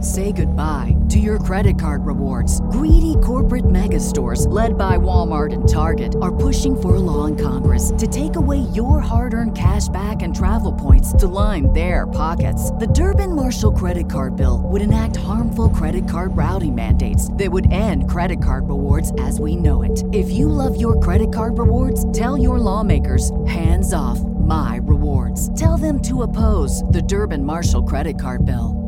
Say goodbye to your credit card rewards. Greedy corporate mega stores, led by Walmart and Target, are pushing for a law in Congress to take away your hard earned cash back and travel points to line their pockets. The Durbin Marshall credit card bill would enact harmful credit card routing mandates that would end credit card rewards as we know it. If you love your credit card rewards, tell your lawmakers hands off my rewards. Tell them to oppose the Durban Marshall credit card bill.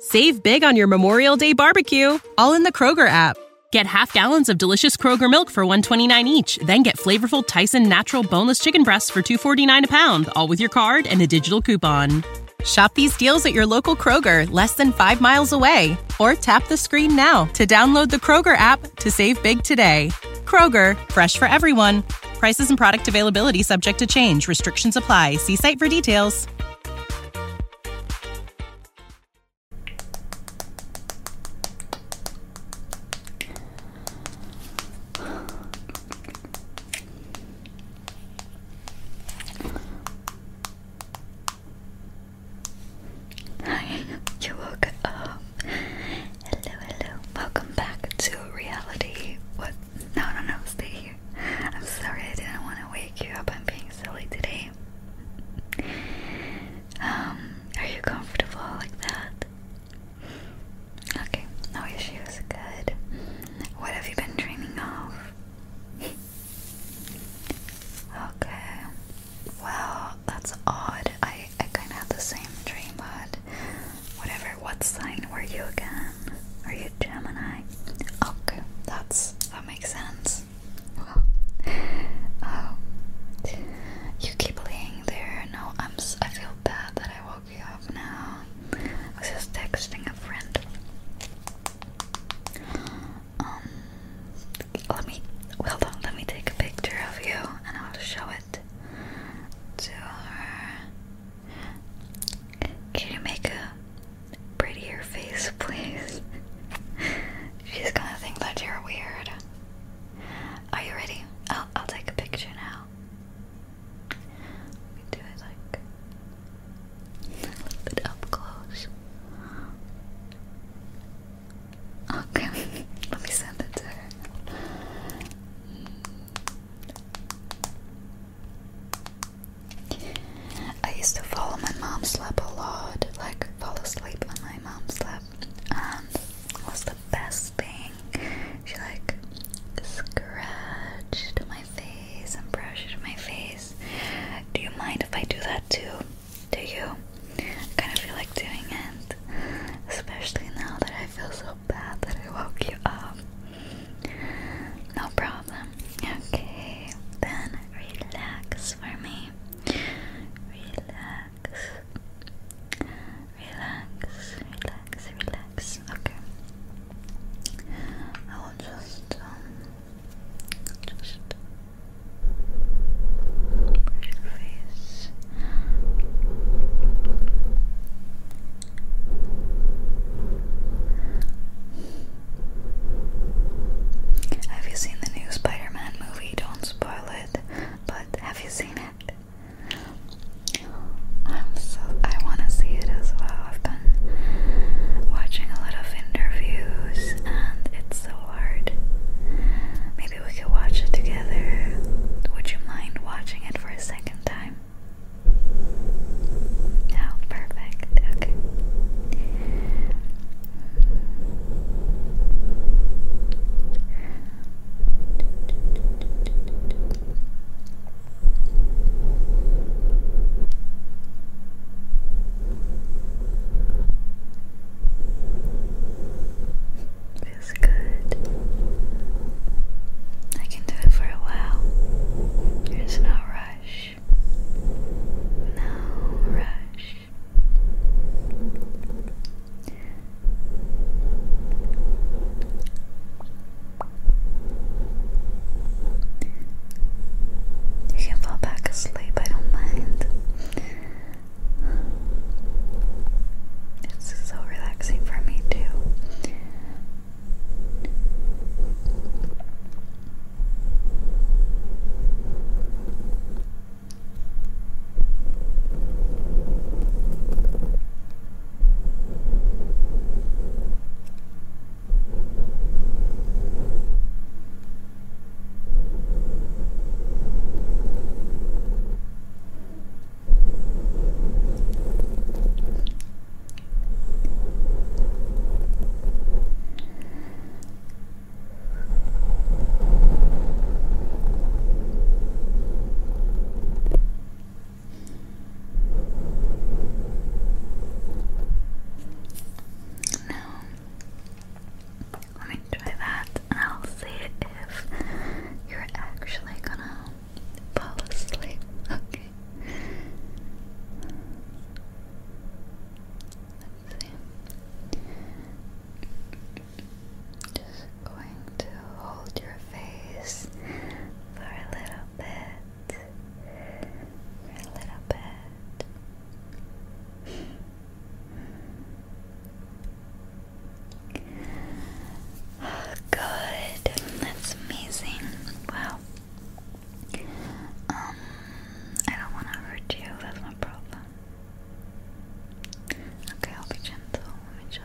Save big on your Memorial Day barbecue, all in the Kroger app. Get half gallons of delicious Kroger milk for 129 each, then get flavorful Tyson natural boneless chicken breasts for 249 a pound, all with your card and a digital coupon. Shop these deals at your local Kroger, less than 5 miles away, or tap the screen now to download the Kroger app to save big today. Kroger, fresh for everyone. Prices and product availability subject to change. Restrictions apply. See site for details. Hi, you woke up Hello, hello. Welcome back to reality. What? No, no, no, stay here. I'm sorry I didn't want to wake you up. I'm being silly today. Um, are you comfortable like that? Okay, no issues. Good. What have you been dreaming of? Okay. Well, that's odd. I I, kind of had the same dream, but whatever. What sign were you again? Are you Gemini? Okay, that's that makes sense. Well, um, you keep laying there. No, I'm. I feel bad that I woke you up now. I was just texting a friend. Um, let me. Well, let me take a picture of you, and I'll show it to her. Can you make a prettier face, please? She's gonna think that you're weird. Are you ready? Oh, I'll take a picture now. Let me do it like a little bit up close. Okay, let me send it to her. I used to follow my mom's lap a lot, like fall asleep on my mom's lap, and um, it was the best thing. She like scratched my face and brushed my face. Do you mind if I do that too? Do you? I kind of feel like doing it, especially now that I feel so bad that I woke you up. No problem. Okay, then relax for me. Relax. Relax, relax, relax. Okay. I will just, um, just brush your face. Have you seen the new Spider Man movie? Don't spoil it, but have you seen it? I'm so I want to see it as well. I've been watching a lot of interviews and it's so hard. Maybe we could watch it together. Would you mind watching it for a second time? No, oh, perfect. Okay feels good. I can do it for a while. There's no rush. No rush. You can fall back asleep, I don't mind. It's so relaxing for me, too. Now, let me that, and I'll see if you're actually gonna fall asleep. Okay. Just going to hold your face for a little bit. a little bit. Good. That's amazing. Wow. Um, I don't want to hurt you. That's my problem. Okay, I'll be gentle. Let me just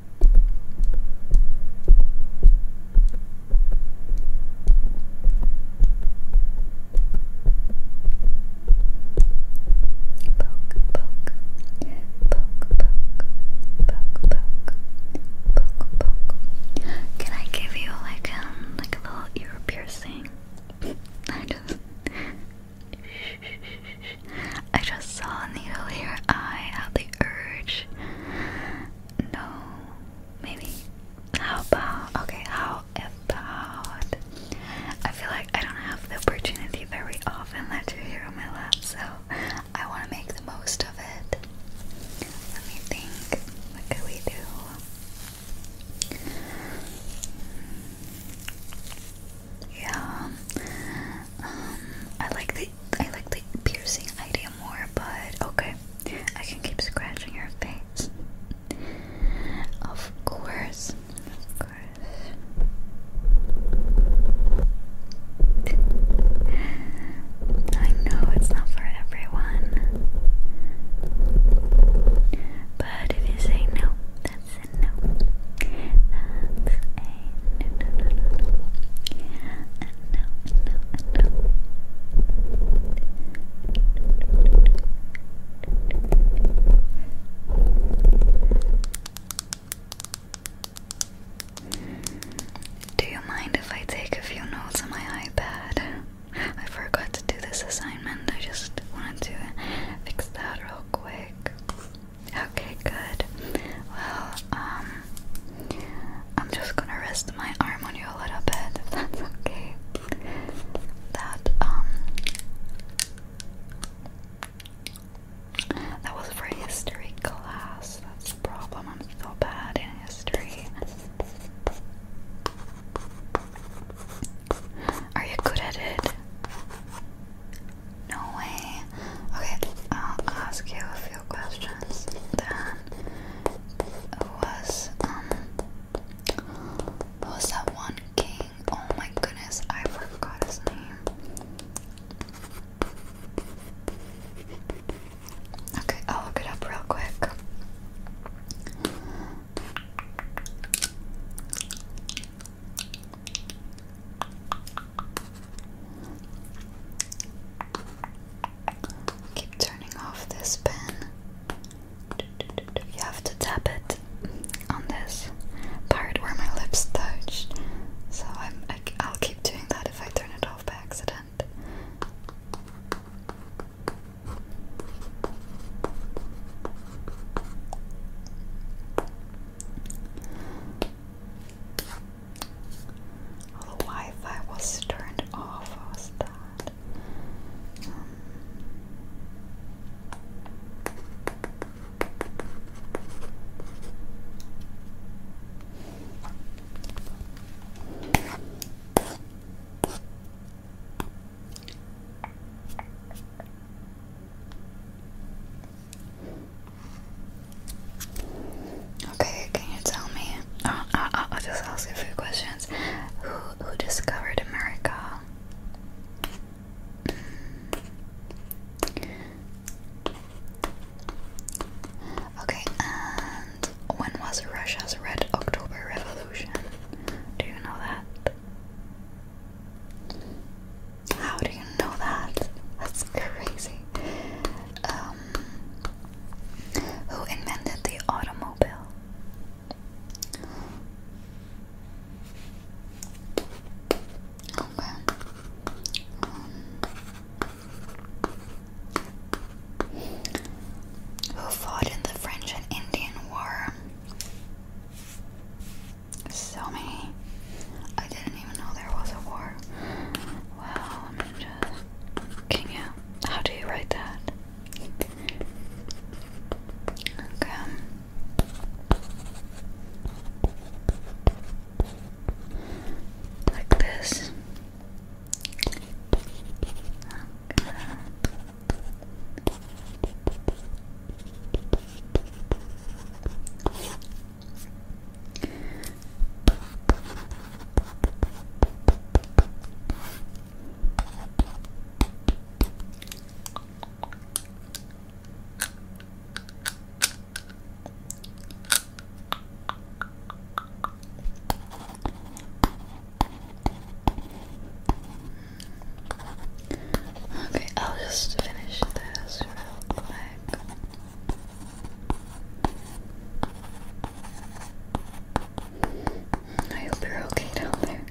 poke. Can I give you like um like a little ear piercing? I just I just saw a needle here urge. No, maybe. How about, okay, how about, I feel like I don't have the opportunity very often that you on my lap, so I want to make the most of it. Let me think, what could we do? Yeah, um, I like the I like the piercing idea more, but okay. I can keep scratching your face. Of course. Of course. I know it's not for everyone. But if you say no, that's a no no, Do you mind if I take a few notes on my iPad? I forgot to do this assignment. I just wanted to fix that real quick. Okay, good. Well, um, I'm just gonna rest my arm on you a little bit, that's okay. That, um, that was for history class. That's a problem. I'm so bad in history. Are you good at it? No way. Okay, I'll ask you a few questions then. Was um was that one king? Oh my goodness, I forgot his name. Okay, I'll look it up real quick. Keep turning off this pen. You have to tap it on this part where my lips touched. So I'm, i will keep doing that if I turn it off by accident the Wi-Fi was turned off. was that? Hmm. Okay, can you tell me? Oh, I'll, i just ask you a few questions. Who who discovered America? Okay, and when was Russia's Red October Revolution? Do you know that? How do you know that? That's crazy. Um, who invented the automobile. Okay. Um, who fought in the French and Indian War? So many. I didn't even know there was a war. Wow, just. Can you? How do you write that? Okay. Like this. Okay. Okay, I'll just finish this real quick. I hope you're okay down there.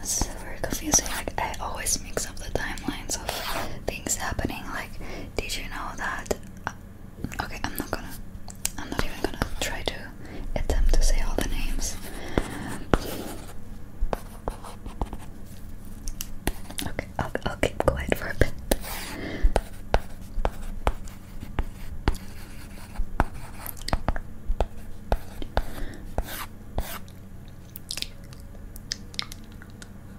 This very confusing. Like I always mix up the timelines of things happening. Like, did you know that Okay, I'm not gonna. I'm not even gonna try to attempt to say all the names. Okay, I'll, I'll keep quiet for a bit. Weird.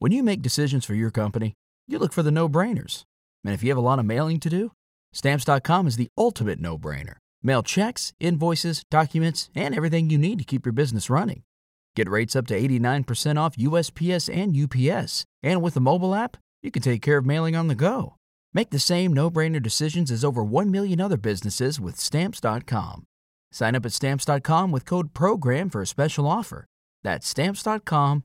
When you make decisions for your company, you look for the no brainers. And if you have a lot of mailing to do, stamps.com is the ultimate no brainer. Mail checks, invoices, documents, and everything you need to keep your business running. Get rates up to 89% off USPS and UPS. And with the mobile app, you can take care of mailing on the go. Make the same no brainer decisions as over 1 million other businesses with stamps.com. Sign up at stamps.com with code PROGRAM for a special offer. That's stamps.com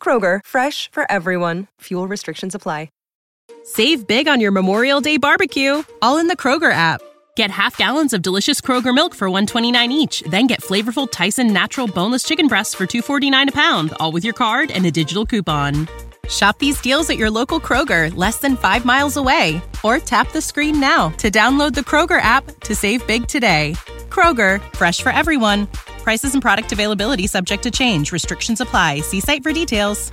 Kroger, fresh for everyone. Fuel restrictions apply. Save big on your Memorial Day barbecue, all in the Kroger app. Get half gallons of delicious Kroger milk for 129 each, then get flavorful Tyson natural boneless chicken breasts for 249 a pound, all with your card and a digital coupon. Shop these deals at your local Kroger, less than 5 miles away, or tap the screen now to download the Kroger app to save big today. Kroger, fresh for everyone. Prices and product availability subject to change. Restrictions apply. See site for details.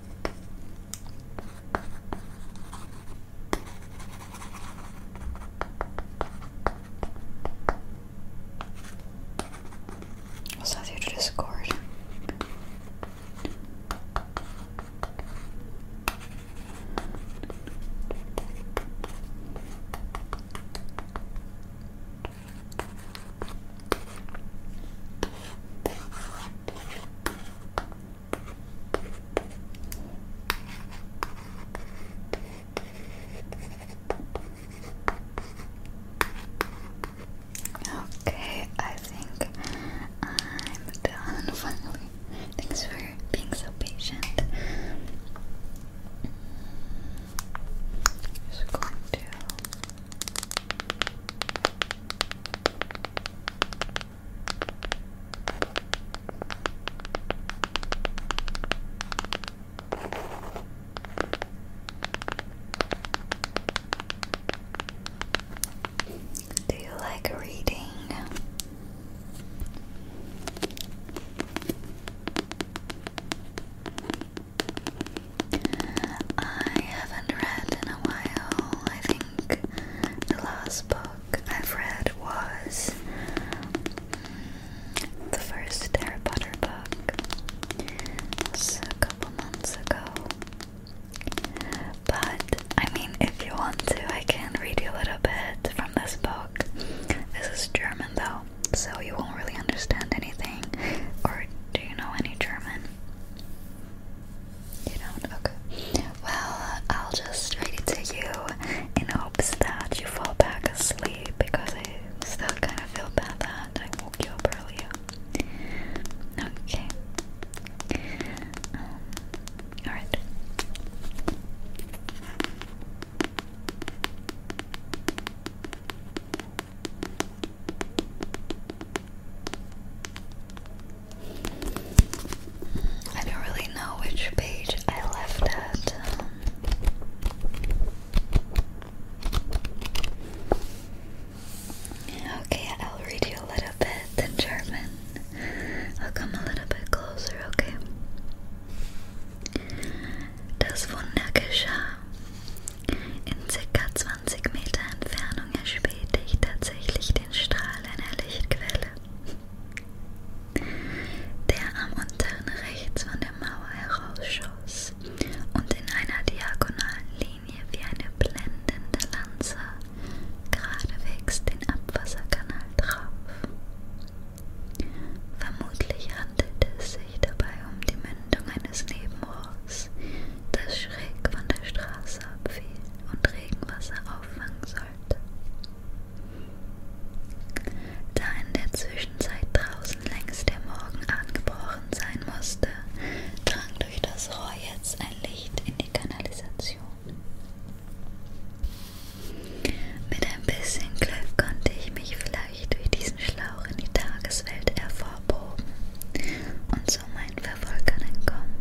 What's that send you to Discord. Okay, I think I'm done finally. Thanks for being so patient. Just going to do you like reading? I haven't read in a while. I think the last book I've read was the first Harry Potter book. a couple months ago. But I mean, if you want to, I can read you a little bit from this book. This is German though, so you won't really understand anything. Or do you know any German? You don't? Okay. Well, I'll just read it to you in hopes that you fall back asleep because I still kind of feel bad that I woke you up earlier. Okay. Um, Alright. I don't really know which page I left at. Um. okay, I'll read you a little bit in German. I'll come a little bit closer, okay? Das Wunder geschah. In ca. 20 Meter Entfernung erspähte ich tatsächlich den Strahl einer Lichtquelle, der am unteren rechts von der Mauer herausschoss und in einer diagonalen Linie wie eine blendende Lanze geradewegs den Abwasserkanal traf. Vermutlich handelte es sich dabei um die Mündung eines Nebenrohrs, das schräg von der Straße abfiel und Regenwasser auffangen sollte. Da in der Zwischenzeit draußen längst der Morgen angebrochen sein musste, drang durch das Rohr jetzt ein Licht in die Kanalisation. Mit ein bisschen Glück konnte ich mich vielleicht durch diesen Schlauch in die Tageswelt hervorproben und zu meinen Verfolgern kommen.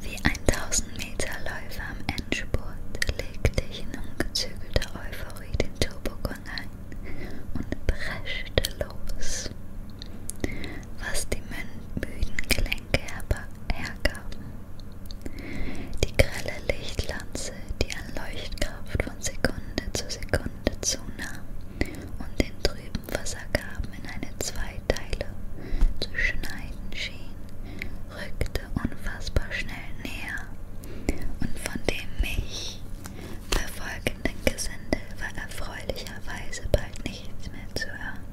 Wie ein 1000 Meter Läufer am Endspurt legte ich in ungezügelter Euphorie den Turbogang ein und preschte los, was die müden Gelenke hergaben. Die grelle Lichtlanze, die an Leuchtkraft von Sekunde zu Sekunde zunahm und den trüben Nebenversagraben in eine Zweiteile zu schneiden schien, rückte unfassbar schnell näher und von dem mich verfolgenden Gesindel war erfreulicherweise bald nichts mehr zu hören.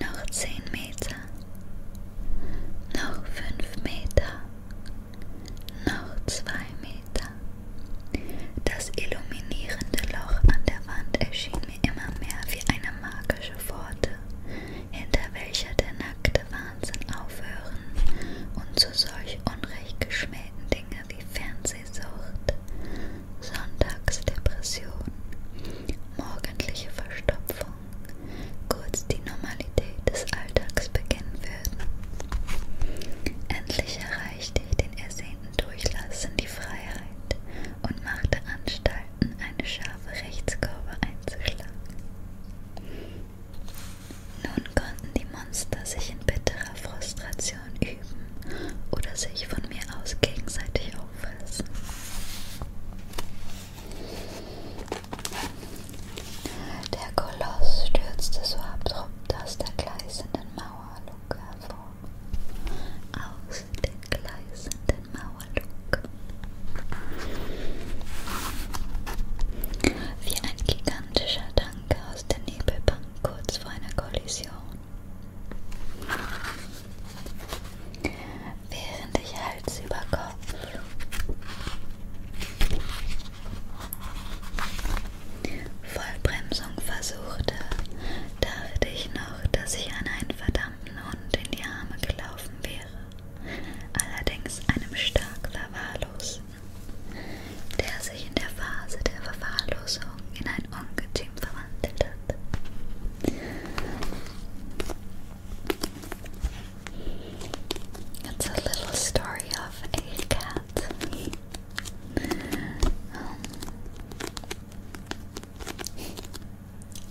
Noch zehn Meter, noch fünf Meter, noch zwei Meter weiter. Das illuminierende Loch an der Wand erschien mir immer mehr wie eine magische Pforte, hinter welcher der nackte Wahnsinn aufhören und zu solch unrecht geschmähten Dinge wie Fernsehsucht, Sonntagsdepression, morgendliche Verstopfung, kurz die Normalität des Alltags beginnen würden. Endlich erreichte ich den ersehnten freien Durchlass in die Freiheit und machte Anstalten, eine scharfe Rechtskurve einzuschlagen. Nun konnten die Monster sich in bitterer Frustration üben oder sich von mir aus gegenseitig auffressen. Der Koloss stürzte so abrupt aus der gleißenden Mauer Schwung hervor, aus der gleißenden Mauerlug. Wie ein gigantischer Tanker aus der Nebelbank kurz vor einer Kollision. Während ich Hals über Kopf Vollbremsung versuchte, dachte ich noch, dass ich an einen verdammten Hund in die Arme gelaufen wäre, allerdings einem stark Verwahrlosen, der sich in der Phase der Verwahrlosung in ein Ungetüm verwandelt hat. It's a little story of a cat. Um,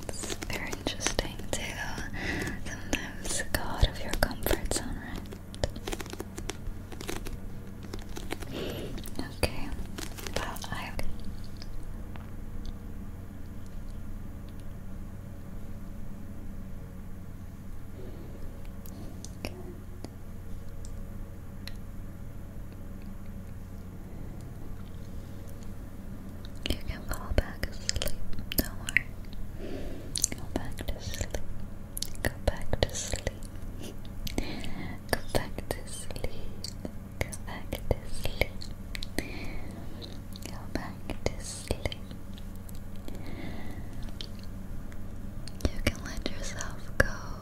it's very interesting to sometimes go out of your comfort zone, right? Okay. Well, I. You can fall back asleep, don't worry. Go back to sleep. Go back to sleep. Go back to sleep. Go back to sleep. Go back to sleep. You can let yourself go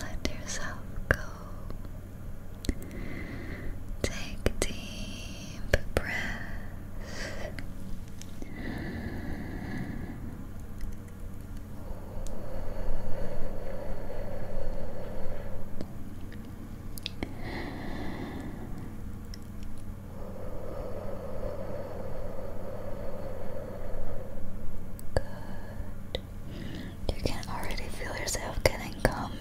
let yourself go. Take deep breaths. Good. You can already feel yourself getting calmer.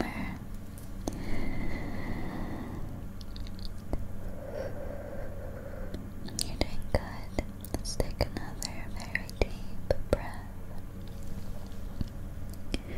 You're doing good. Let's take another very deep breath. Good.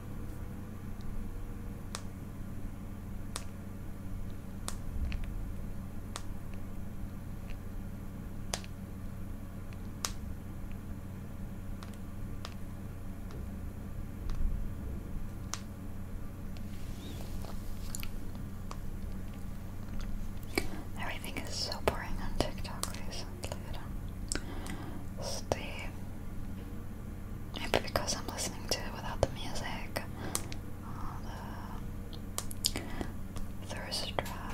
Everything is so boring on TikTok recently. I Maybe because I'm listening to it without the music. All the thirst traps.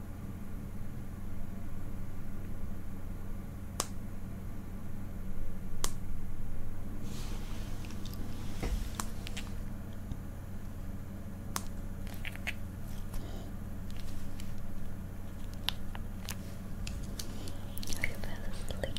I fell asleep.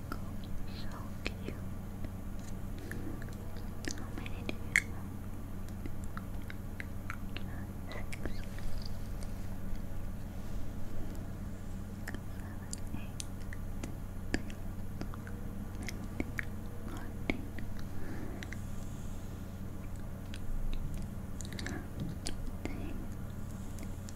Mango, so cute. How many do you have? Six, seven, eight, nineteen, fourteen, thirteen,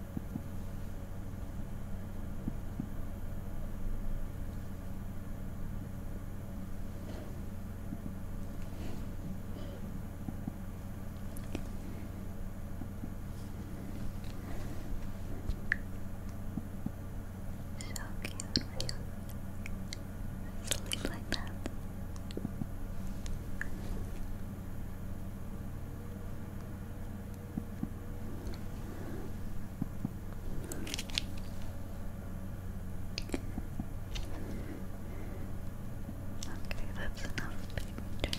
So cute you sleep like that. Okay, that's enough picture. Okay.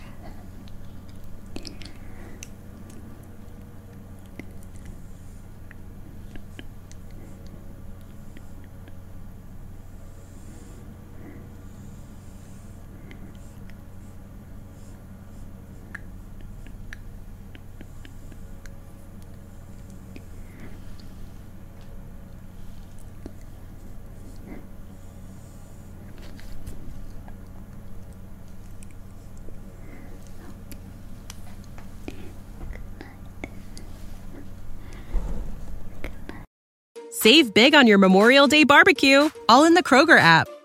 Save big on your Memorial Day barbecue, all in the Kroger app.